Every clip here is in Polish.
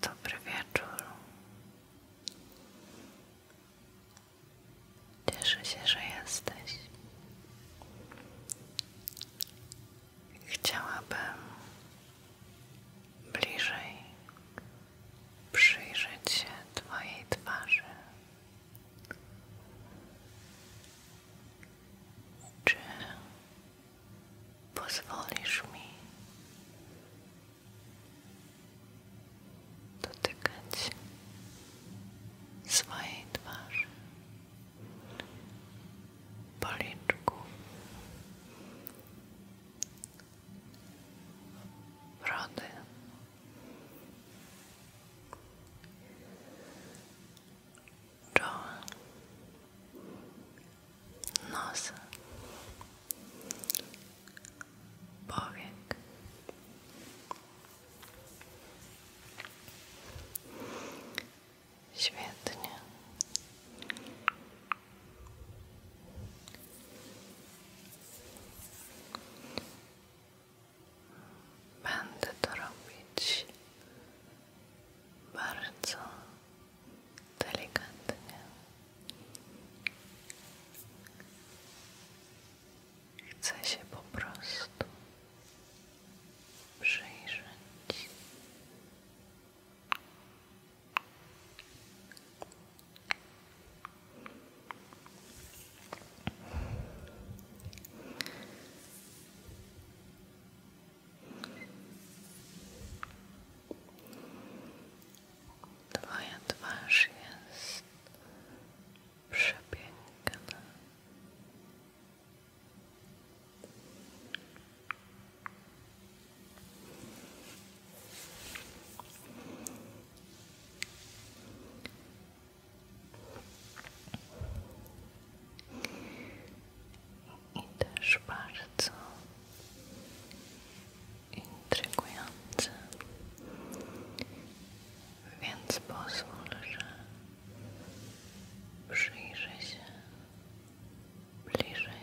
Dobry wieczór. Cieszę że jesteś. Chciałabym bliżej przyjrzeć się Twojej twarzy. Czy pozwolisz mi dotykać swojej twarzy, policzków, brody czoła, nosa, powiek. Świetnie. Będę robić bardzo delikatnie chcę się po prostu przyjrzeć Twoja twarz jest przepiękna i też bardzo intrygujący, więc pozwól, że przyjrzę się bliżej.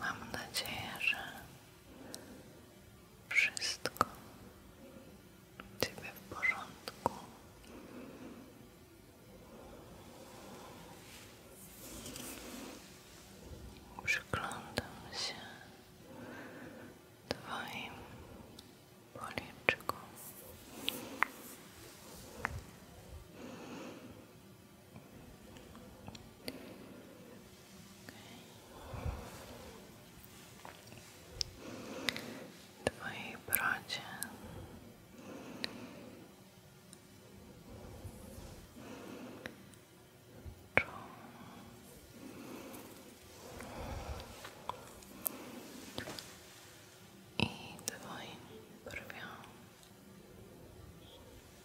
Mam nadzieję, że wszystko u w porządku. Przyglądam się Twoim policzkom okay. Twojej brodzie i twoim brwią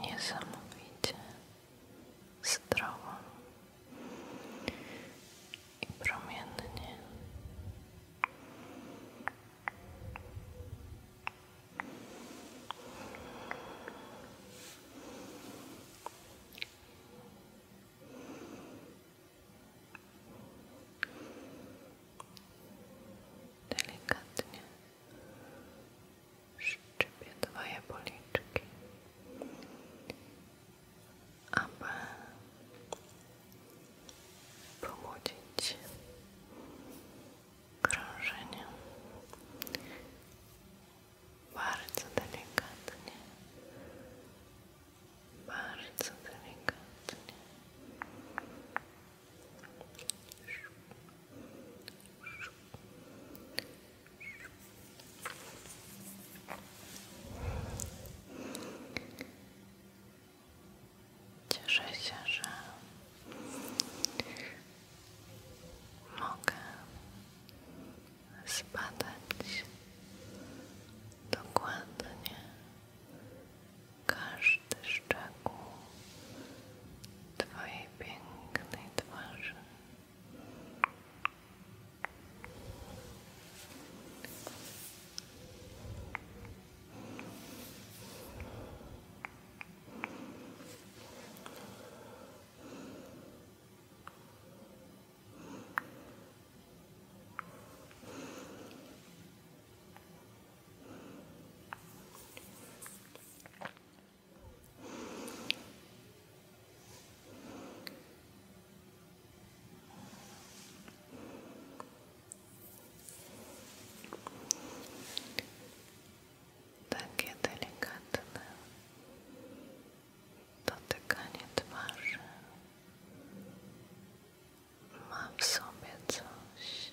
niesamowicie zdrową i promiennie. Delikatnie szczypie dwa jabłeczki, aby pobudzić krążenie bardzo delikatnie, bardzo delikatnie Cieszę się, że mogę zbadać dokładnie każdy szczegół Twojej pięknej twarzy. Takie delikatne dotykanie twarzy ma w sobie coś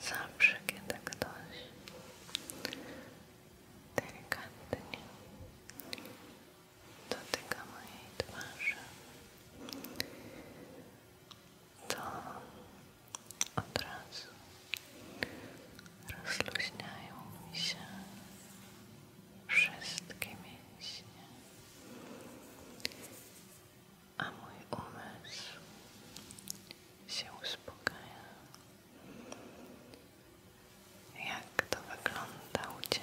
Zawsze, kiedy ktoś delikatnie dotyka mojej twarzy, to od razu rozluźniają się wszystkie mięśnie, a mój umysł się uspokaja. Jak to wygląda u Ciebie?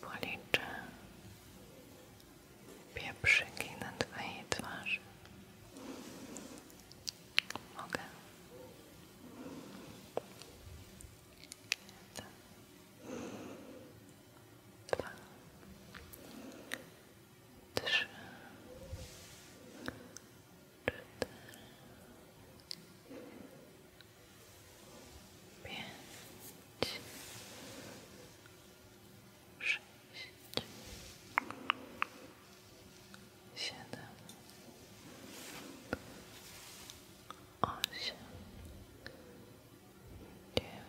Policzę pieprzyki na twojej twarzy. Mogę. Jeden. Dwa. Trzy pięć, sześć, siedem, osiem, dziewięć.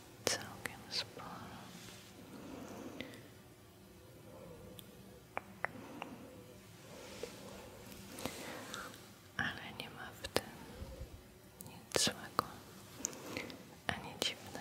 całkiem sporo. Ale nie ma w tym nic złego ani dziwnego.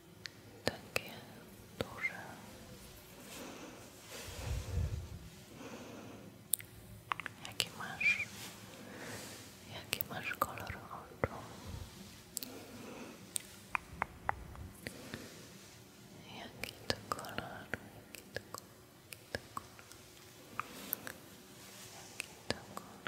takie duże. Jaki masz? Jaki masz kolor oczu? Jaki to kolor? Jaki to kolor? Jaki to kolor?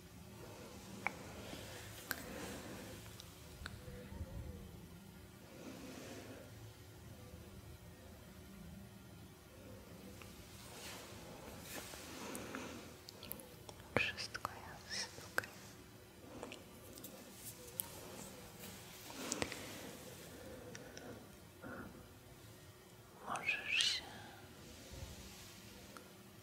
Wszystko jest ok. Możesz się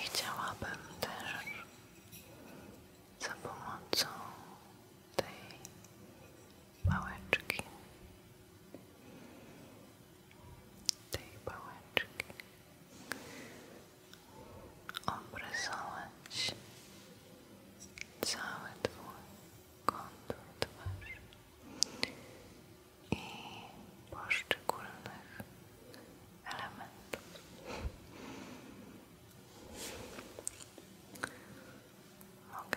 I chciałabym też za pomocą tej bałeczki, tej bałeczki, obrysować cały twój kontur twarzy i poszczególnych elementów ok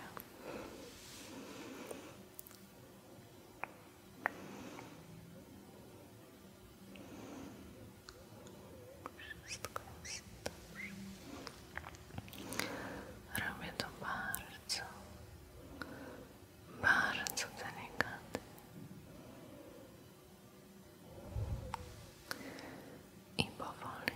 wszystko jest dobrze robię to bardzo bardzo delikatnie i powoli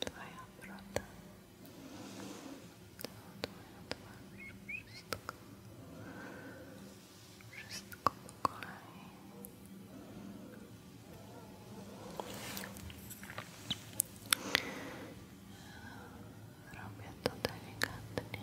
Twoja broda, to twoja twarz, wszystko, wszystko po kolei. Robię to delikatnie.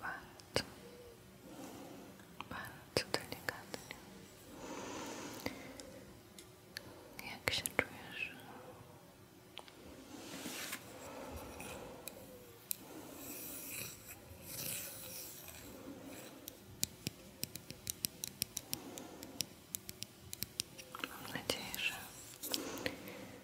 Bardzo, bardzo delikatnie. Jak się czujesz? Mam nadzieję, że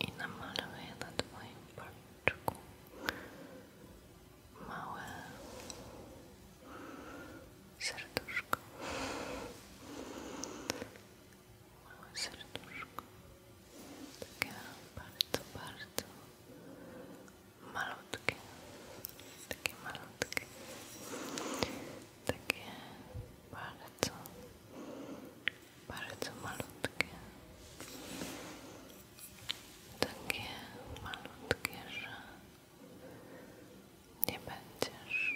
I namaluję na Twoim policzku małe serduszko. Małe serduszko. Takie bardzo, bardzo malutkie, takie malutkie, takie bardzo, bardzo malutkie, takie malutkie, że nie będziesz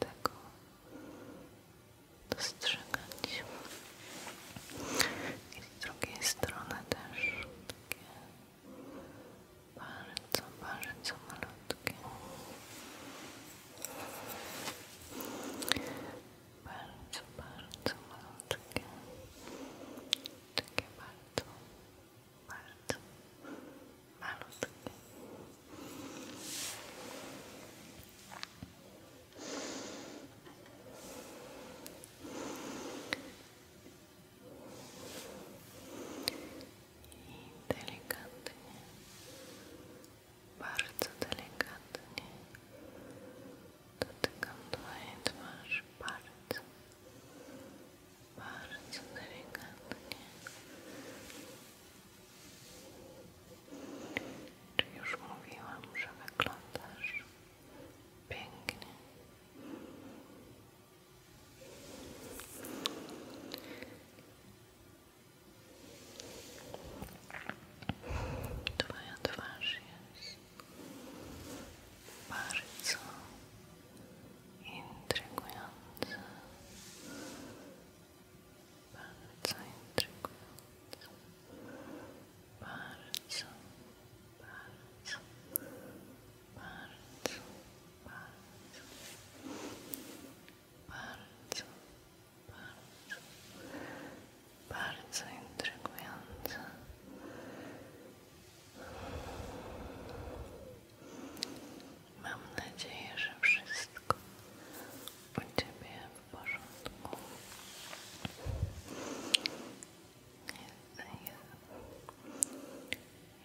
tego dostrzegać. I z drugiej strony też takie bardzo, bardzo malutkie. Bardzo, bardzo malutkie. Takie bardzo, bardzo malutkie. I delikatnie, bardzo delikatnie dotykam Twojej twarzy, bardzo, bardzo delikatnie. Czy już mówiłam, że wyglądasz Pięknie. Twoja twarz jest bardzo intrygująca. Bardzo intrygująca bardzo, bardzo, bardzo, bardzo, bardzo, bardzo, bardzo intrygujące. Mam nadzieję, że wszystko u Ciebie w porządku.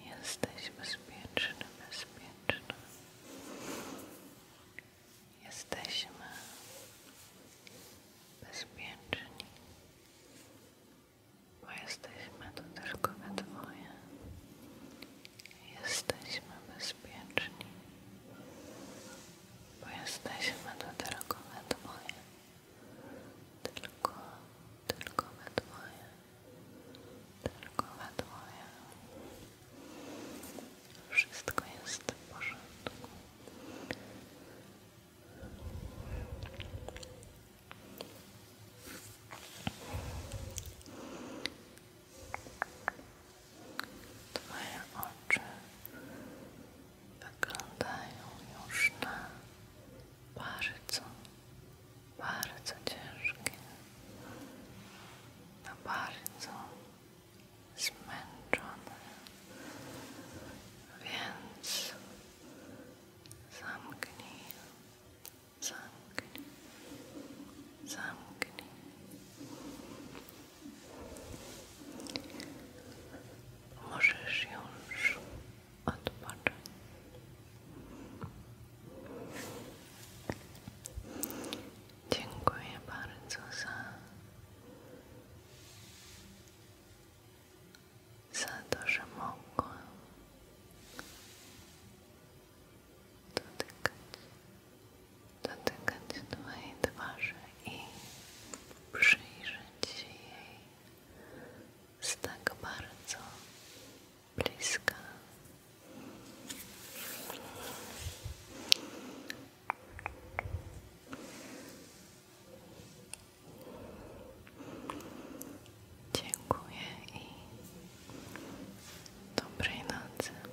jesteśmy bezpieczni, bezpieczny. Jesteśmy bezpieczni, bo jesteśmy tu tylko we dwoje. Jesteśmy bezpieczni, bo jesteśmy tu tylko we dwoje. Tylko, tylko we dwoje. Tylko we dwoje. Wszystko jest w Twoje oczy wyglądają już na bardzo, bardzo ciężkie, na bardzo zmęczone, więc zamknij, zamknij, zamknij. Możesz już odpocząć. Dziękuję bardzo za, za to, że mogłam dotykać Twojej twarzy i przyjrzeć się jej z tak bardzo bliska. Dziękuję i dobrej nocy.